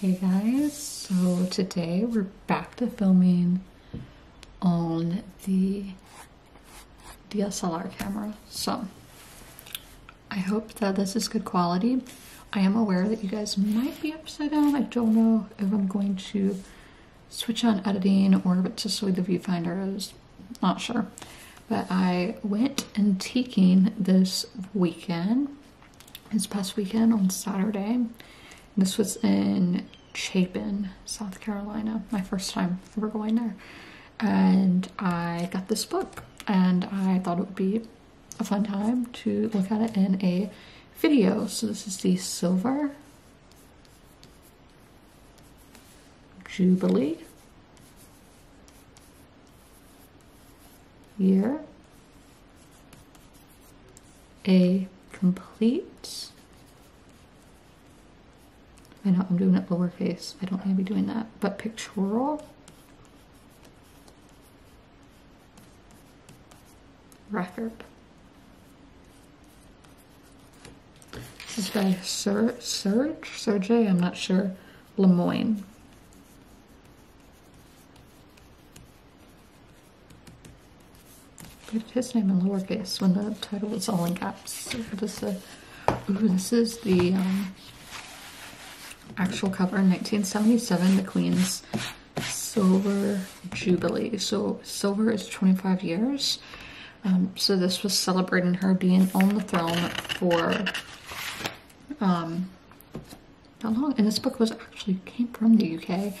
Hey guys, so today we're back to filming on the DSLR camera. So I hope that this is good quality. I am aware that you guys might be upside down. I don't know if I'm going to switch on editing or if it's just with the viewfinder. I was not sure. But I went and taking this weekend this past weekend on Saturday. This was in Chapin, South Carolina, my first time ever going there. And I got this book, and I thought it would be a fun time to look at it in a video. So, this is the Silver Jubilee Year. a complete. I know I'm doing it lowercase. I don't want to be doing that, but pictorial record. This is by Sir Serge Sergey. I'm not sure. Lemoyne. Put his name in lowercase when the title was all in caps. This, is the um, actual cover, 1977, the Queen's Silver Jubilee. So silver is 25 years. Um, so this was celebrating her being on the throne for um, not long, and this book was actually came from the UK. it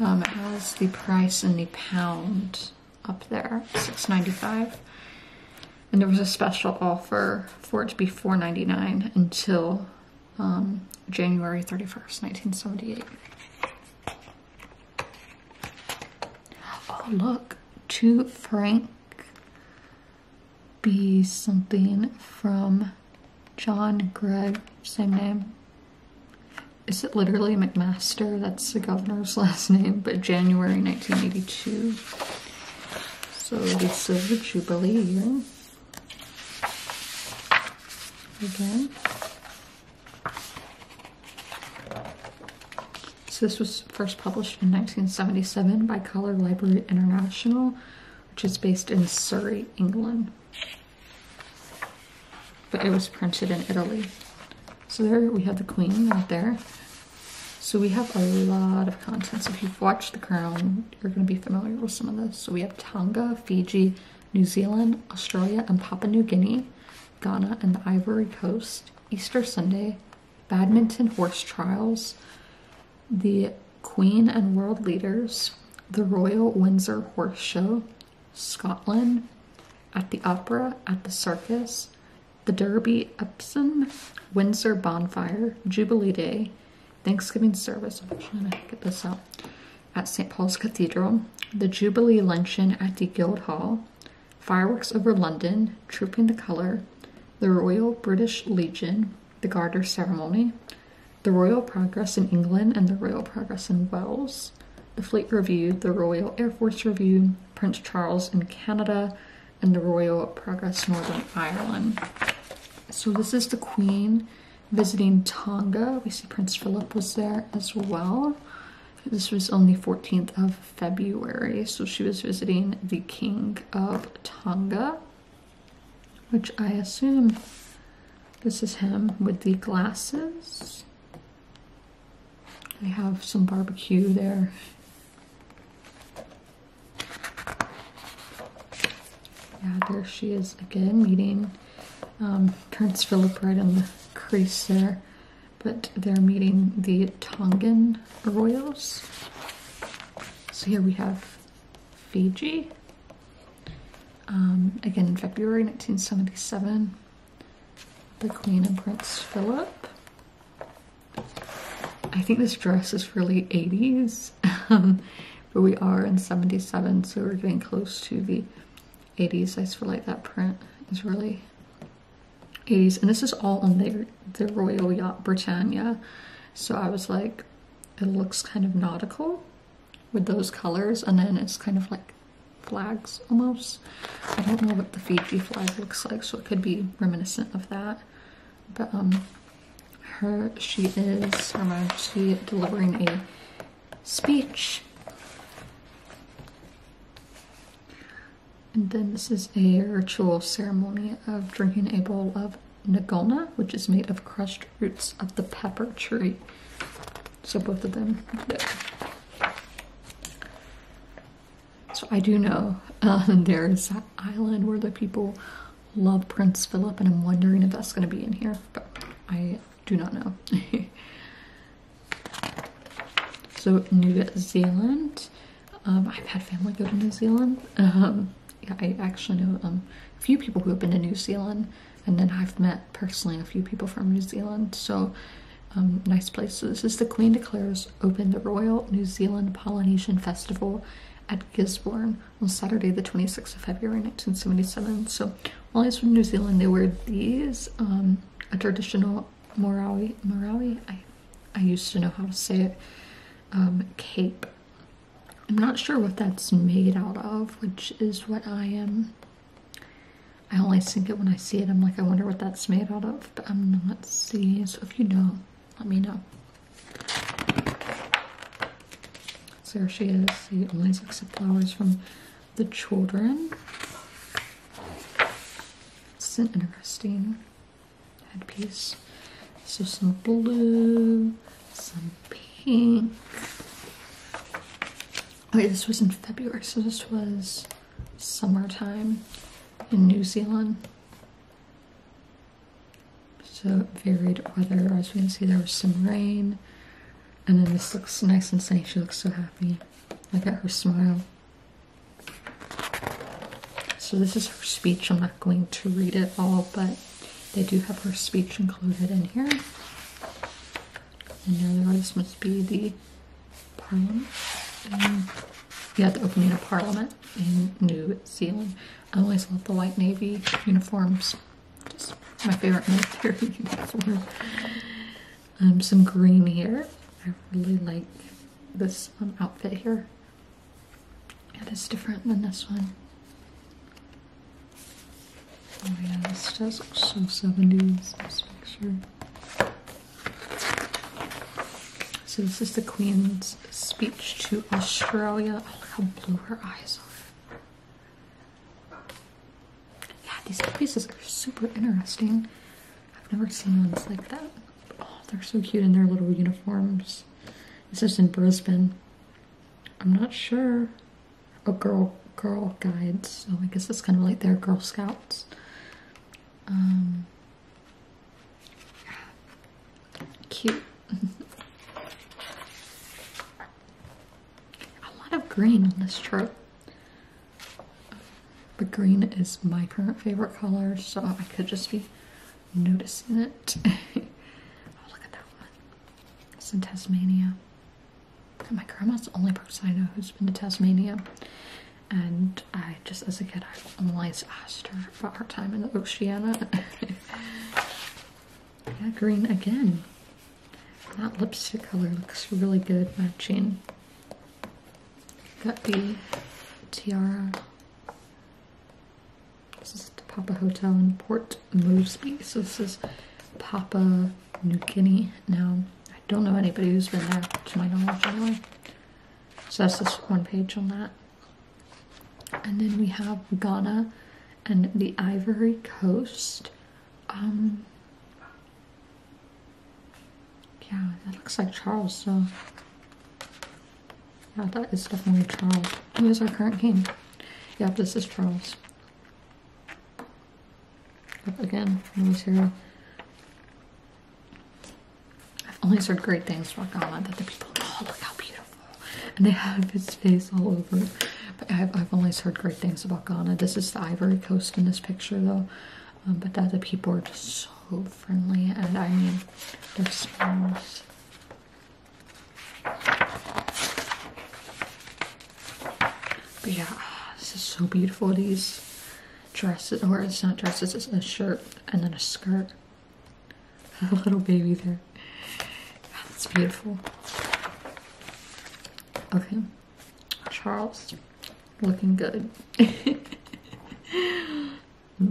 um, has the price in the pound up there, six ninety five, and there was a special offer for it to be four ninety nine until um, January thirty first, nineteen seventy eight. Oh look, to Frank be something from John Gregg, same name. Is it literally McMaster? That's the governor's last name, but January 1982. So the Silver Jubilee year. Again. So this was first published in 1977 by Color Library International which is based in Surrey, England. But it was printed in Italy. So there we have the Queen right there. So we have a lot of content. So If you've watched The Crown, you're going to be familiar with some of this. So we have Tonga, Fiji, New Zealand, Australia, and Papua New Guinea, Ghana, and the Ivory Coast, Easter Sunday, badminton horse trials, the Queen and World Leaders, the Royal Windsor Horse Show, Scotland, at the Opera, at the Circus, the Derby Epsom, Windsor Bonfire, Jubilee Day, Thanksgiving Service, I'm trying to get this out, at St. Paul's Cathedral, the Jubilee Luncheon at the Guildhall, Fireworks over London, Trooping the Colour, the Royal British Legion, the Garter Ceremony, the Royal Progress in England and the Royal Progress in Wales, the Fleet Review, the Royal Air Force Review, Prince Charles in Canada, and the Royal Progress Northern Ireland. So this is the Queen visiting Tonga. We see Prince Philip was there as well. This was on the 14th of February, so she was visiting the King of Tonga which I assume this is him with the glasses. They have some barbecue there. Yeah, there she is again meeting um, Prince Philip right in the crease there. But they're meeting the Tongan royals. So here we have Fiji, um, again in February 1977, the Queen and Prince Philip. I think this dress is really 80s, um, but we are in 77, so we're getting close to the 80s. I feel like that print is really 80s, and this is all on their the Royal Yacht Britannia. So I was like, it looks kind of nautical with those colors, and then it's kind of like flags almost. I don't know what the Fiji flag looks like, so it could be reminiscent of that. But um, her, she is, her delivering a speech and then this is a ritual ceremony of drinking a bowl of nagona, which is made of crushed roots of the pepper tree. So both of them. So I do know uh, there is an island where the people love Prince Philip, and I'm wondering if that's going to be in here, but I do not know. so New Zealand um, I've had family go to New Zealand. Um, I actually know um, a few people who have been to New Zealand, and then I've met personally a few people from New Zealand. So, nice place. So this is the Queen declares open the Royal New Zealand Polynesian Festival at Gisborne on Saturday, the 26th of February, 1977. So, while I was from New Zealand, they wear these a traditional Morawi. Morawi. I I used to know how to say it um, cape. I'm not sure what that's made out of, which is what I am. I only think it when I see it. I'm like, I wonder what that's made out of, but I'm not seeing. So if you know, let me know. there she is. She only accept flowers from the children. It's interesting headpiece. So some blue, some pink. Wait, this was in February, so this was summertime in New Zealand. So varied weather. As you can see, there was some rain. And then this looks nice and sunny. She looks so happy. Look at her smile. So this is her speech. I'm not going to read it all, but they do have her speech included in here. And now this must be the Parliament. Um, yeah, the opening of Parliament in New Zealand. I always love the white navy uniforms. Just my favorite military uniform. Um, some green here. I really like this um, outfit here. It is different than this one. Oh yeah, this does look so 70s, this picture. So this is the Queen's speech to Australia. Oh, look how blue her eyes are. Yeah, these pieces are super interesting. I've never seen ones like that. Oh, they're so cute in their little uniforms. This is in Brisbane. I'm not sure. Oh, girl, girl guides. So oh, I guess it's kind of like their Girl Scouts. Um, cute. A lot of green on this trip. But green is my current favorite color, so I could just be noticing it. oh, look at that one. It's in Tasmania. my grandma's the only person I know who's been to Tasmania. And I just, as a kid, I always asked her about her time in the Oceania. yeah, green again. That lipstick color looks really good matching. Got the tiara this is the Papa Hotel in Port Moresby. So this is Papa New Guinea. Now, I don't know anybody who's been there to my knowledge anyway. So that's just one page on that. And then we have Ghana and the Ivory Coast. Um, yeah, that looks like Charles, so yeah, that is definitely Charles. Who is our current king? Yep, this is Charles. Yep, again, always hero. I've only heard great things about Ghana that the people, oh, look how beautiful. And they have his face all over. I've, I've only heard great things about Ghana. This is the Ivory Coast in this picture, though. Um, but that the people are just so friendly and I mean their smells. But yeah, this is so beautiful. These dresses, or it's not dresses, it's a shirt and then a skirt. a little baby there. that's beautiful. Okay, Charles, looking good.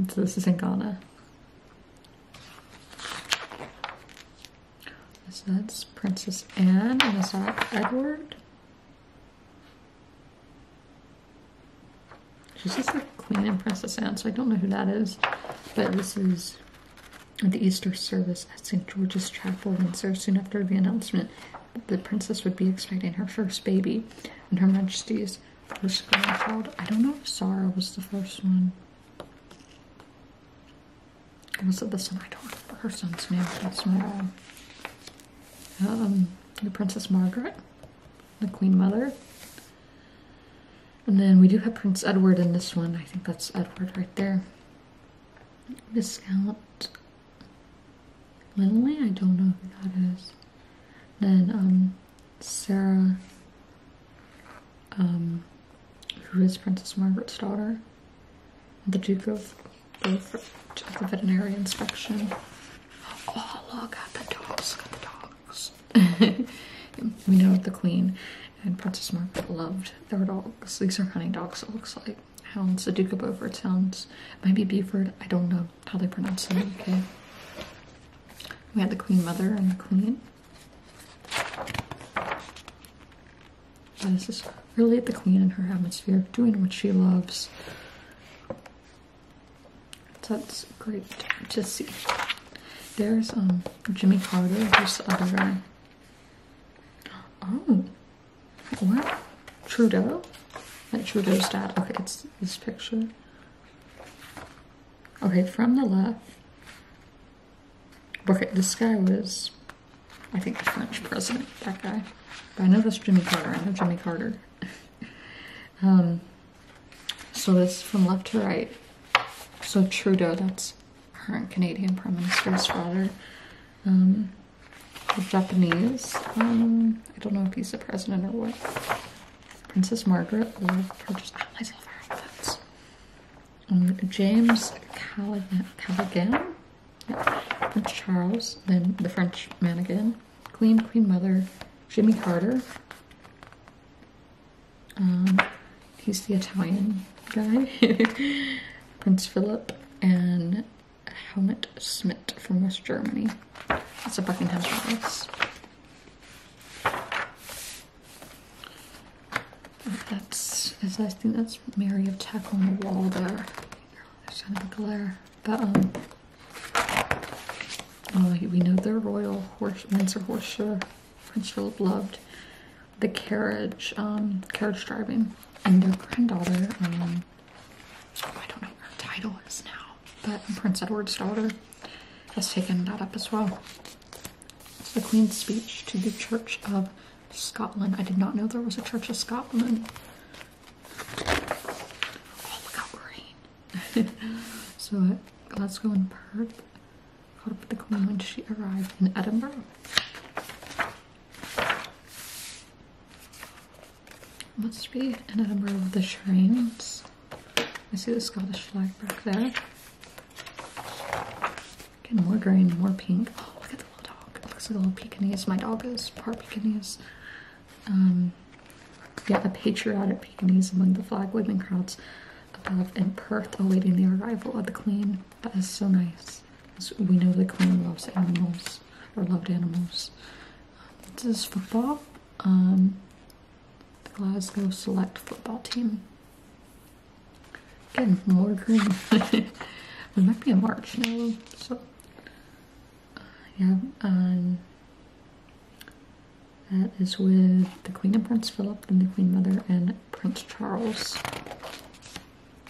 So this is in Ghana. So that's Princess Anne and is Edward? She's just the Queen and Princess Anne, so I don't know who that is. But this is the Easter service at St. George's Chapel, and Windsor, soon after the announcement the princess would be expecting her first baby, and Her Majesty's one called. I don't know if Sarah was the first one. Was the this one? I don't remember her son's name. um, the Princess Margaret, the Queen Mother. And then we do have Prince Edward in this one. I think that's Edward right there. Viscount Linley? I don't know who that is. Then um, Sarah, um, who is Princess Margaret's daughter, the Duke of, of, the veterinary inspection. Oh, look at the dogs, look at the dogs. we know the Queen and Princess Margaret loved their dogs. These are hunting dogs, it looks like. Hounds, the Duke of Beaufort sounds, maybe Beaufort, I don't know how they pronounce them, okay. We had the Queen Mother and the Queen. But this is really the Queen and her atmosphere, doing what she loves. that's great to see. There's um Jimmy Carter, who's the other guy. Oh, what? Trudeau? that Trudeau's dad. Okay, it's this picture. Okay, from the left, okay, this guy was, I think, the French president, that guy. But I know that's Jimmy Carter. I know Jimmy Carter. um, so this from left to right. So Trudeau, that's current Canadian Prime Minister's father. Um, Japanese, um, I don't know if he's a president or what. Princess Margaret Lord purchased allies of outfits. James Callaghan, Prince Charles, then the French man again, Queen, Queen Mother, Jimmy Carter. Um, he's the Italian guy. Prince Philip and Helmut Schmidt from West Germany. That's a Buckingham Palace. That's, I think that's Mary of Tech on the wall there. There's kind of a glare. But, um, oh, we know they're Royal Horse, Windsor Horseshoe, Prince Philip loved the carriage, um, carriage driving, and their granddaughter, um, I don't know her title is now but Prince Edward's daughter has taken that up as well. It's the Queen's speech to the Church of Scotland. I did not know there was a Church of Scotland. Oh, look how green. so uh, Glasgow and Perth caught up with the Queen when she arrived in Edinburgh must be in a number of the shrines. I see the Scottish flag back there. Again, more green, more pink. Oh, look at the little dog. It looks like a little Pekingese. My dog is part Pekingese. Um, yeah, a patriotic Pekingese among the flag waving crowds above in Perth awaiting the arrival of the Queen. That is so nice. We know the Queen loves animals, or loved animals. This is football the um, Glasgow Select football team. Again, more green. It might be a March now, so uh, yeah. Um, that is with the Queen and Prince Philip, and the Queen Mother, and Prince Charles.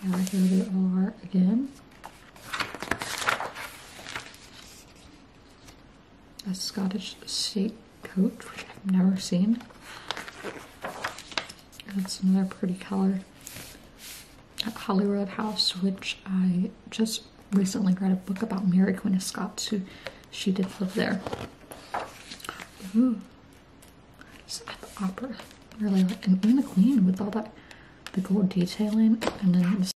here they are again a Scottish state coat, which I've never seen. That's another pretty color. Hollyrood House, which I just recently read a book about Mary Queen of Scots, who she did live there. opera. Really like, and, and the queen with all that, the gold detailing, and then